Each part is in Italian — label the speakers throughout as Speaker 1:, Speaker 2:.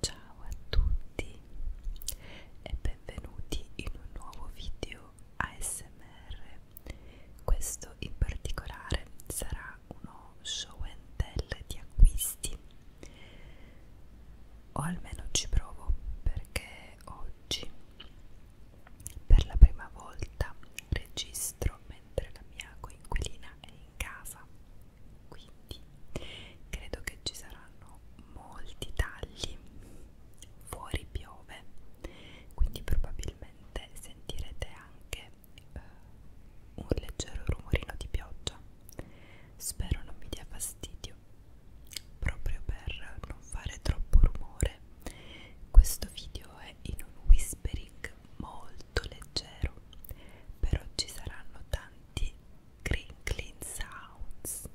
Speaker 1: Ciao a tutti e benvenuti in un nuovo video ASMR. Questo in particolare sarà uno show and tell di acquisti. O almeno ci provo perché oggi per la prima volta registro mentre la mia coinquilina è in casa quindi credo che ci saranno molti tagli fuori piove quindi probabilmente sentirete anche eh, un leggero rumorino di pioggia spero non vi dia fastidio video proprio per non fare troppo rumore questo video è in un whispering molto leggero però ci saranno tanti crinkling sounds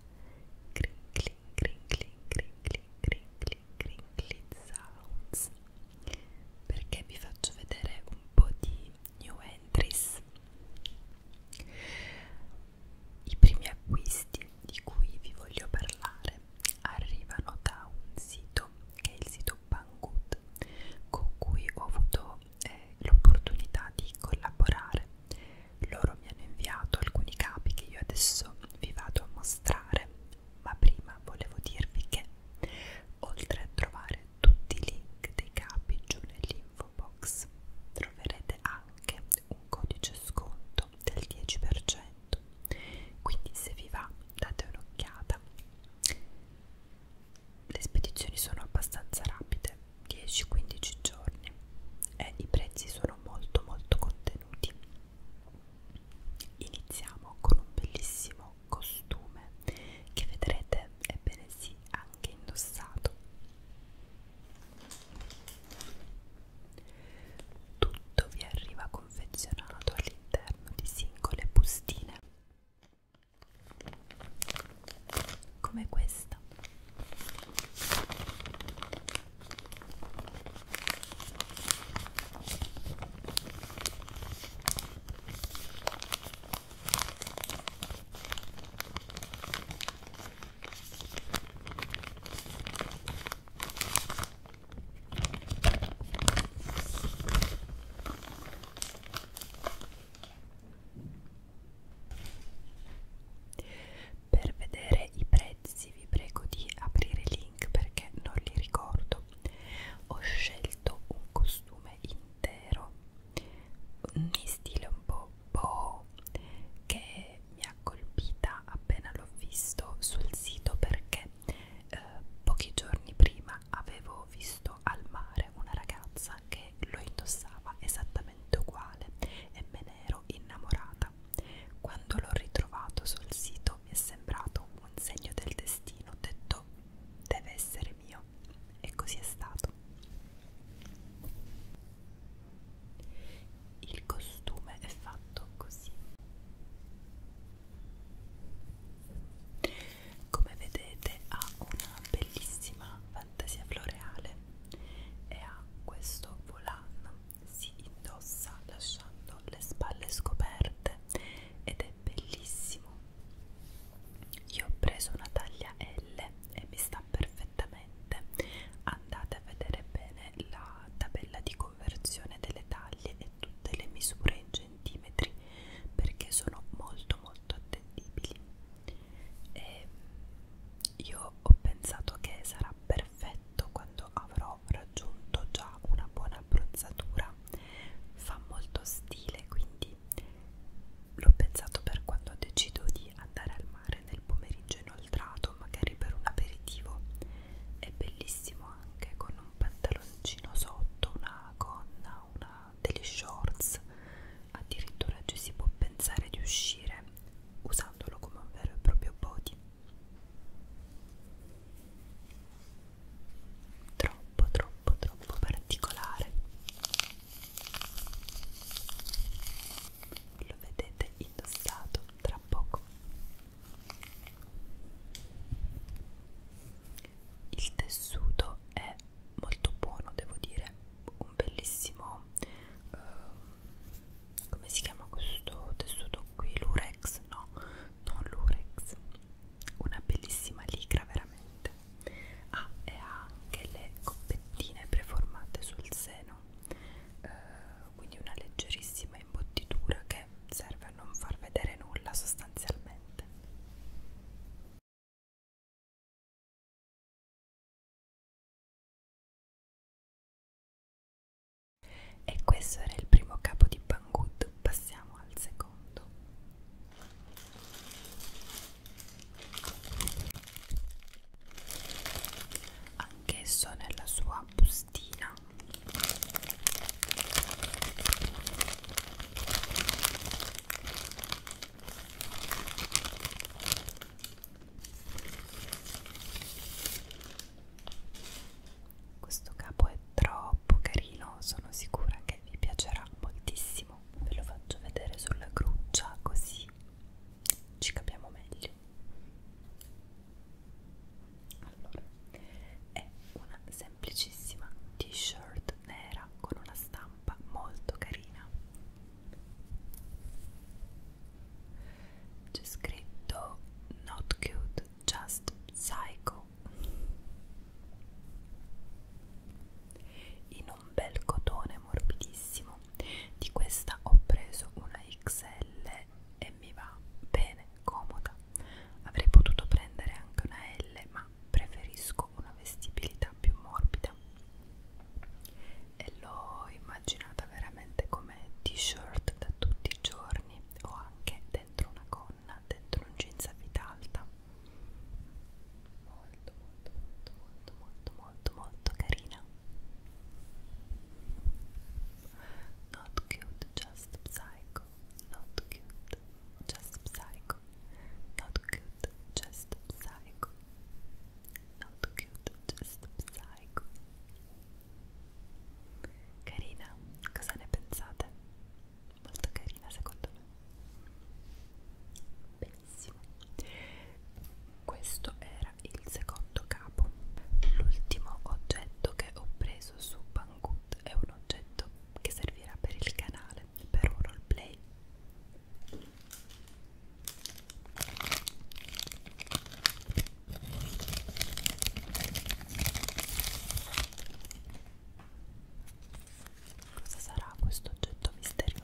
Speaker 1: crinkling crinkling crinkling crinkling crinkling sounds perché vi faccio vedere un po' di new entries i primi acquisti di cui vi voglio parlare arrivano da un sito che è il sito Banggood con cui ho avuto eh, l'opportunità di collaborare. Loro mi hanno inviato alcuni capi che io adesso vi vado a mostrare, ma prima volevo dirvi che oltre a trovare tutti i link dei capi giù nell'info box troverete anche un codice sconto del 10%. Quindi se vi va date un'occhiata. Le spedizioni sono abbastanza rapide, 10-15 giorni e i prezzi sono molto molto contenuti. Iniziamo con un bellissimo costume che vedrete ebbene sì anche indossato tutto vi arriva confezionato all'interno di singole bustine, come questa. Per vedere i prezzi vi prego di aprire i link perché non li ricordo. Ho scelto un costume intero in stile un po' po' che mi ha colpita appena l'ho visto sul sito perché eh, pochi giorni prima avevo visto al mare una ragazza che lo indossava esattamente uguale e me ne ero innamorata. Quando l'ho ritrovato sul sito mi è sembrato un segno del destino, ho detto deve essere mio e così è stato. Il costume è fatto così. Come vedete ha una bellissima fantasia floreale e ha questo volano. Si indossa lasciando le spalle scoperte ed è bellissimo. Io ho preso una taglia L e mi sta perfettamente perfettamente andate a vedere bene la tabella di conversione delle taglie e tutte le misure in centimetri perché sono molto molto attendibili e ehm, io ho pensato che sarà perfetto quando avrò raggiunto già una buona abbronzatura fa molto stile quindi l'ho pensato per quando decido di andare al mare nel pomeriggio inoltrato, magari per un aperitivo. È bellissimo anche con un pantaloncino sotto, una gonna, una, degli shorts. Addirittura ci si può pensare di uscire usandolo come un vero e proprio body. Troppo, troppo, troppo particolare. Lo vedete indossato tra poco. Il tessuto è molto buono, devo dire, un bellissimo eh, come si chiama questo tessuto qui? Lurex? No, non Lurex, una bellissima ligra veramente. Ah, e ha anche le coppettine preformate sul seno. Eh, quindi una leggerissima imbottitura che serve a non far vedere nulla sostanzialmente. E questo era il primo capo di Banggood, passiamo al secondo anch'esso nella sua bustina questo capo è troppo carino sono sicura che vi piacerà moltissimo ve lo faccio vedere sulla gruccia così ci capiamo meglio allora, è una semplicissima t-shirt nera con una stampa molto carina. C'è scritto Not cute, just psycho. In un bel cotone morbidissimo. Di questa ho preso una XL l e mi va bene, comoda. Avrei potuto prendere anche una L, ma preferisco una vestibilità più morbida. E l'ho immaginata veramente come t-shirt da tutti i giorni o anche dentro una gonna, dentro un jeans a vita alta. Molto, molto, molto, molto, molto, molto, molto carina. Not cute, just psycho. Not cute, just psycho. Not cute, just psycho. Not cute, just psycho. Carina, cosa ne pensate? Molto carina secondo me. Benissimo. Questo era il secondo capo. L'ultimo oggetto che ho preso su Banggood è un oggetto che servirà per il canale, per un roleplay. Cosa sarà questo oggetto misterioso?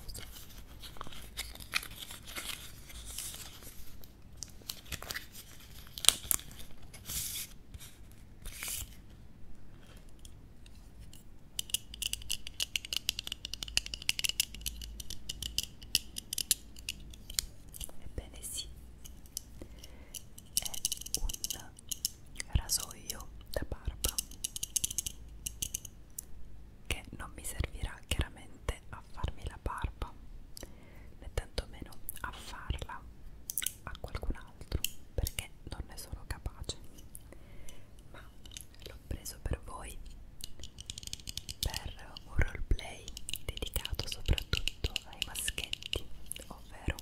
Speaker 1: Ebbene sì, è un rasoio da barba che non mi servirà chiaramente a a farmi la barba né tantomeno a farla a qualcun altro perché non ne sono capace ma l'ho preso per voi per un roleplay dedicato soprattutto ai maschetti ovvero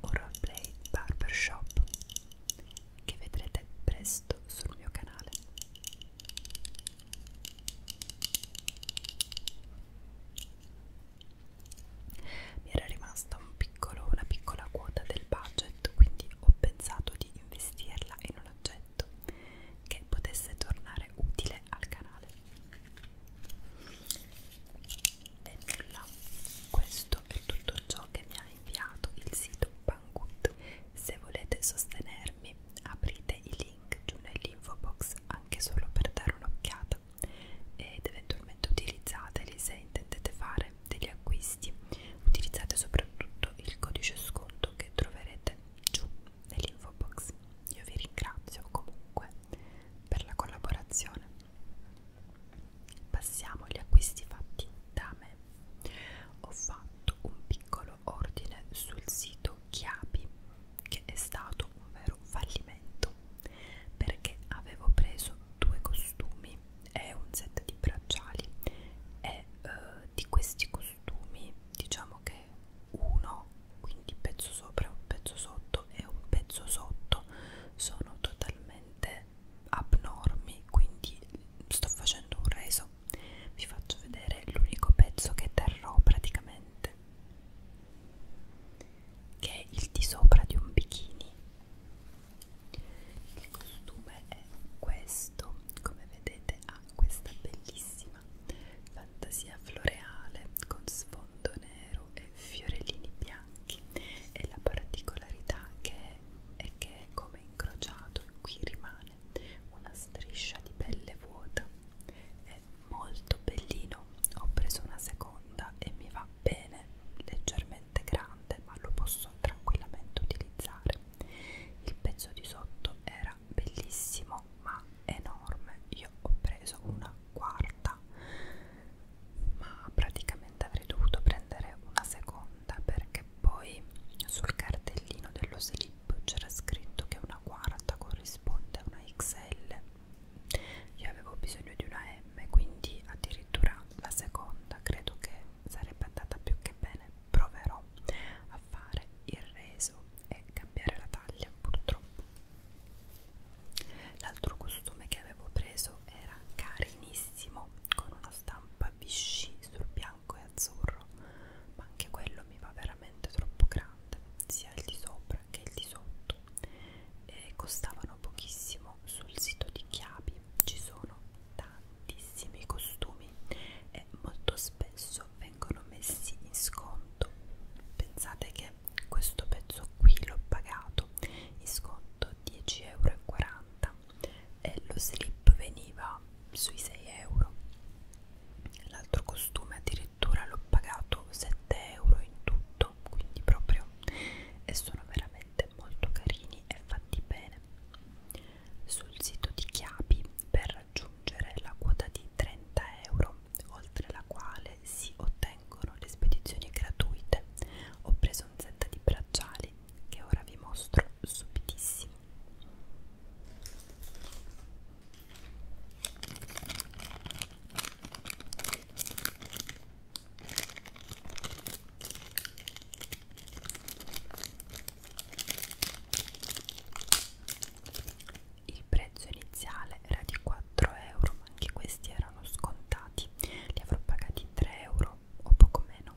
Speaker 1: un roleplay barbershop che vedrete presto sul mio canale mi era rimasta un piccolo, una piccola quota del budget, quindi ho pensato di investirla in un oggetto che potesse tornare utile al canale. E nulla, questo è tutto ciò che mi ha inviato il sito Banggood. Se volete sostenermi, aprite i link link giù nell'info box anche solo per dare un'occhiata ed eventualmente utilizzateli se intendete fare degli acquisti utilizzate soprattutto il codice sconto che troverete giù nell'info box io vi ringrazio comunque per la collaborazione passiamo agli acquisti fatti da me ho fatto un piccolo ordine sul sito detto Chiapi, che è stato un vero fallimento perché avevo preso due costumi e un set di bracciali e eh, di questi costumi diciamo che uno, quindi pezzo sopra, un pezzo sotto e un pezzo sotto sono totalmente abnormi, quindi sto facendo un reso vi faccio vedere l'unico pezzo che terrò praticamente che è il di sopra di un bikini il costume è questo come vedete ha questa bellissima fantasia floreale con sfondo nero e fiorellini bianchi e la particolarità che è, è che come incrociato qui rimane una striscia di pelle vuota è molto bellino ho preso una seconda e mi va bene leggermente grande ma lo posso tranquillamente utilizzare il pezzo di sotto era bellissimo ma enorme io ho preso una quarta ma praticamente avrei dovuto prendere una seconda perché poi sul cartellino dello slip c'era scritto che una quarta corrisponde a una XL io avevo bisogno di una M, quindi addirittura la seconda credo che sarebbe andata più che bene. Proverò a fare il reso e cambiare la taglia, purtroppo. L'altro costume che avevo preso era carinissimo, con una stampa Vichy sul bianco e azzurro, ma anche quello mi va veramente troppo grande. 70 sia il di sopra che il di sotto e costavano pochissimo sul sito di Chiabi ci sono tantissimi costumi e molto spesso vengono messi in sconto pensate che questo pezzo qui l'ho pagato in sconto 10,40 euro e lo slip veniva sui 6 euro l'altro costume addirittura addirittura l'ho pagato 7 euro in tutto quindi proprio e sono veramente molto carini e fatti bene sul sito di Chiapi per raggiungere la quota di 30 euro oltre la quale si ottengono le spedizioni gratuite ho preso un set di bracciali che ora vi mostro subitissimo il prezzo iniziale era di 4 euro, ma anche questi erano scontati, li avrò pagati 3 euro o poco meno.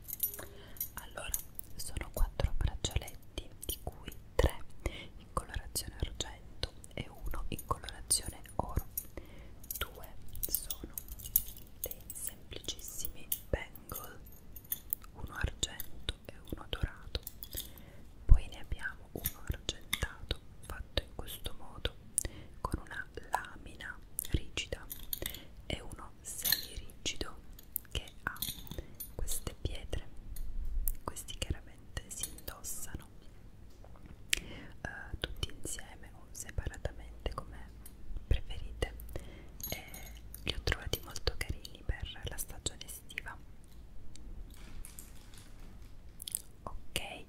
Speaker 1: allora sono quattro braccialetti di cui tre in colorazione argento e uno in colorazione oro due sono dei semplicissimi bangle uno argento e uno dorato poi ne abbiamo uno argentato fatto in questo modo con una lamina rigida e uno semi rigido che ha queste pietre questi chiaramente si indossano eh, tutti insieme o separatamente come preferite e li ho trovati molto carini per la stagione estiva ok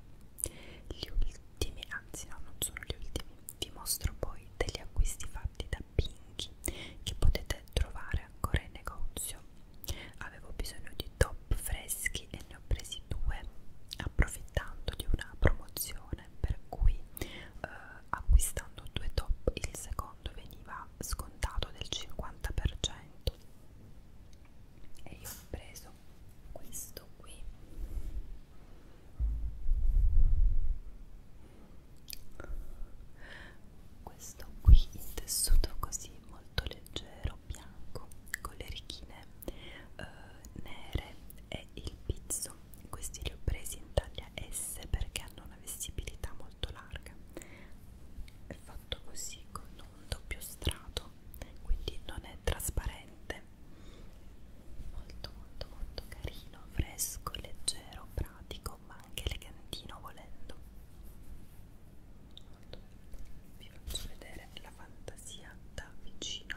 Speaker 1: gli ultimi anzi no non sono gli ultimi vi mostro poi degli acquisti fatti fatti da Pinky che potete trovare ancora in negozio. Avevo bisogno di top freschi e ne ho presi due approfittando di una promozione per cui eh, acquistando due top il secondo veniva scontato del 50% e io ho preso questo qui questo qui in tessuto così molto leggero bianco con le righine eh, nere è il pizzo questi li ho presi in taglia S perché hanno una vestibilità molto larga è fatto così con un doppio strato quindi non è trasparente molto molto molto carino fresco leggero pratico ma anche elegantino volendo vi faccio vedere la fantasia da vicino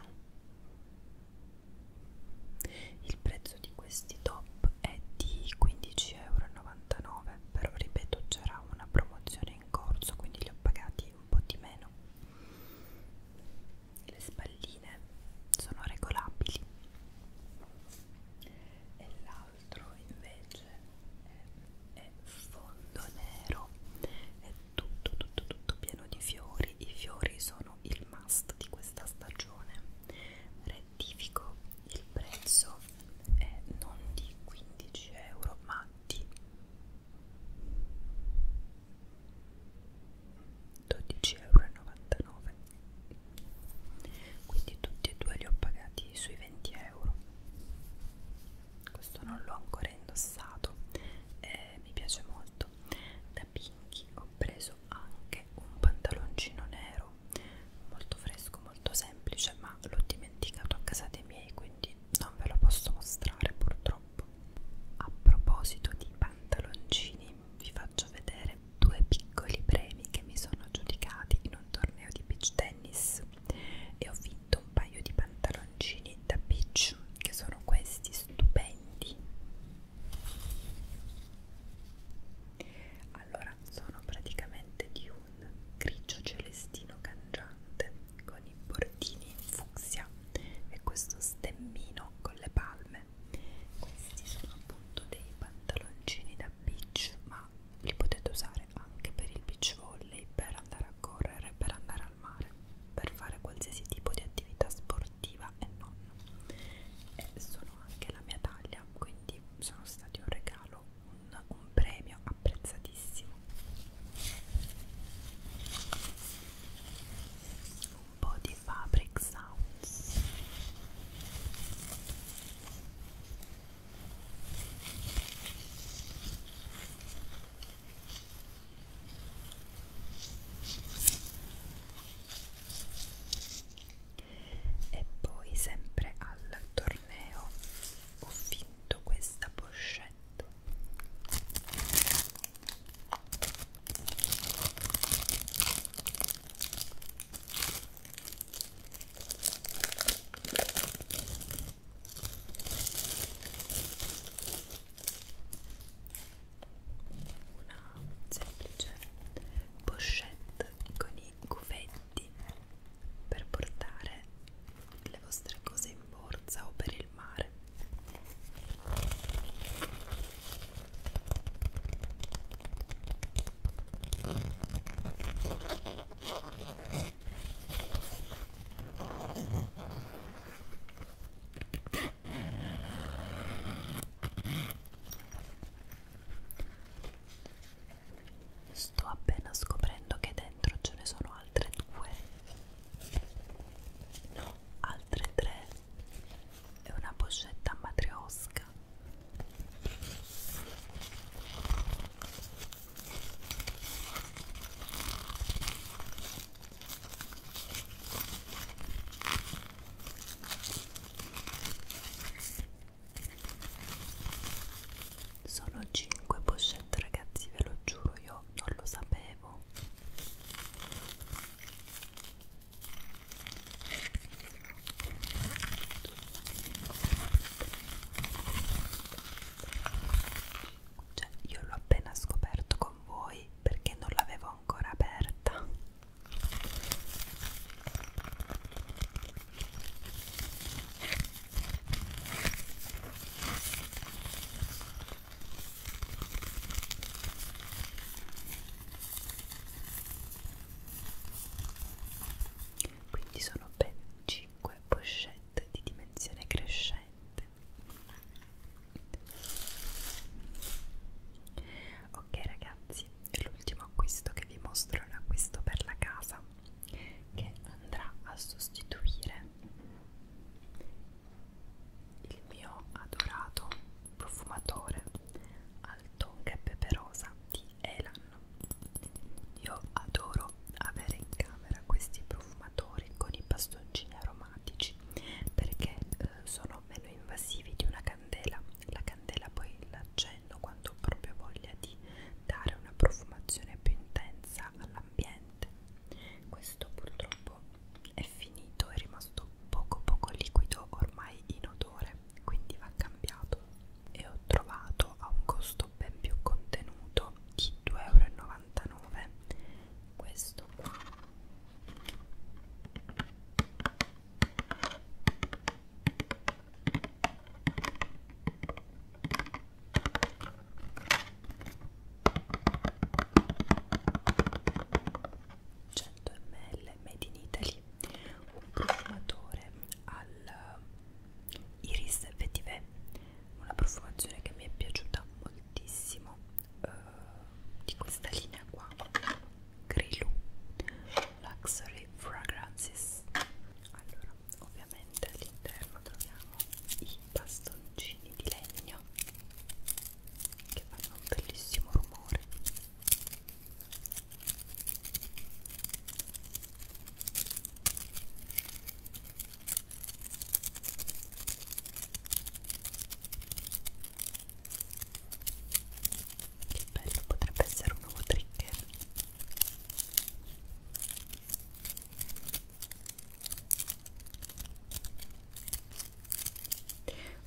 Speaker 1: il prezzo di questi top è di 15,99 euro però ripeto c'era una promozione in corso quindi li ho pagati un po' di meno le spalline sono regolabili e l'altro invece è, è fondo nero è tutto tutto tutto pieno di fiori i fiori sono il must di questa stagione rettifico il prezzo è non di 15 euro ma di 12,99 euro quindi tutti e due li ho pagati sui 20 euro questo non l'ho ancora indossato eh, mi piace molto da Pinky ho preso anche un pantaloncino nero molto fresco molto semplice ma l'ho dimenticato a casa dei miei quindi non ve lo posso mostrare purtroppo a proposito di pantaloncini vi faccio vedere due piccoli premi che mi sono aggiudicati in un torneo di beach tennis e ho vinto un paio di pantaloncini da beach che sono questi stupendi allora sono praticamente di un grigio celestino cangiante con i bordini in fucsia e questo stemmino con le palme questi sono appunto dei pantaloncini da per beach ma li potete usare anche per il beach volley per andare a correre per andare al mare per fare qualsiasi tipo di attività sportiva e non e sono anche la mia taglia quindi sono stati un regalo un, un premio apprezzatissimo un po' di fabric sounds e poi sempre al torneo ho vinto questa pochette una semplice pochette con i cuffetti per portare le vostre cose in borsa o per il mare Sto appena scoprendo che dentro ce ne sono altre due, no, altre tre. È una boccetta matriosca sono 5 pochette ragazzi, ve lo giuro, io non lo sapevo. Cioè, io l'ho appena scoperto con voi perché non l'avevo ancora aperta quindi sono ben 5 pochette di dimensione crescente ok ragazzi l'ultimo acquisto che vi mostro è un acquisto per la casa che andrà a sostituire il mio adorato profumatore al tonga e peperosa di Elan io adoro avere in camera questi profumatori con i bastoncini aromatici perché eh, sono meno invasivi di una candela. La candela poi l'accendo quando ho proprio voglia di dare una profumazione più intensa all'ambiente. Questo purtroppo è finito, è rimasto poco poco liquido ormai in odore quindi va cambiato e ho trovato a un costo ben più contenuto di 2,99 euro questo qua ml made in Italy un profumatore al eh, Iris Vetiver una profumazione che mi è piaciuta moltissimo eh, di questa linea qua Grilou Luxury Fragrances allora ovviamente all'interno troviamo i bastoncini di legno che fanno un bellissimo rumore che bello, potrebbe essere un nuovo trigger.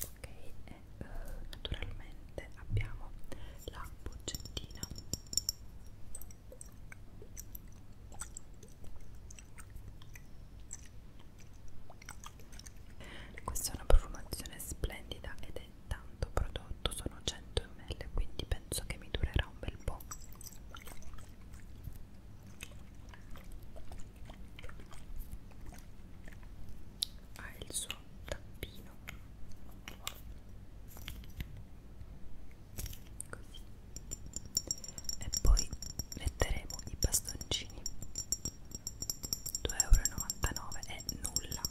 Speaker 1: Ok, eh, eh naturalmente finalmente abbiamo la boccettina questa è una profumazione splendida ed è tanto prodotto sono 100 ml quindi penso che mi durerà un bel po' ha il suo tappino così e poi metteremo i bastoncini 2,99€ è nulla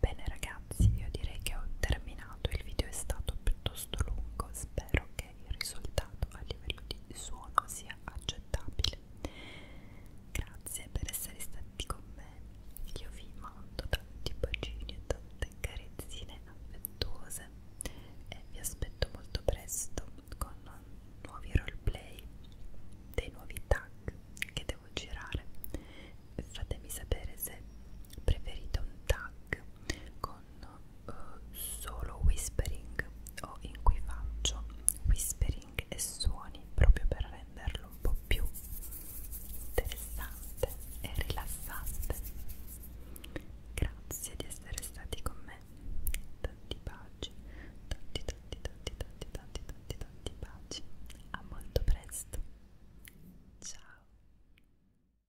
Speaker 1: Bene ragazzi, io direi che ho terminato, il video è stato piuttosto lungo, spero affinché il risultato a livello di suono sia accettabile. Grazie per essere stati con me. Io vi mando tanti bacini e tante carezzine affettuose e vi aspetto molto presto con nuovi roleplay, dei nuovi tag che devo girare. Fatemi sapere se preferite un tag con con uh, solo whispering o in cui faccio whispering e suoni proprio per renderlo un po' più interessante e rilassante grazie di essere stati con me tanti baci tanti tanti tanti tanti tanti tanti tanti baci a molto presto ciao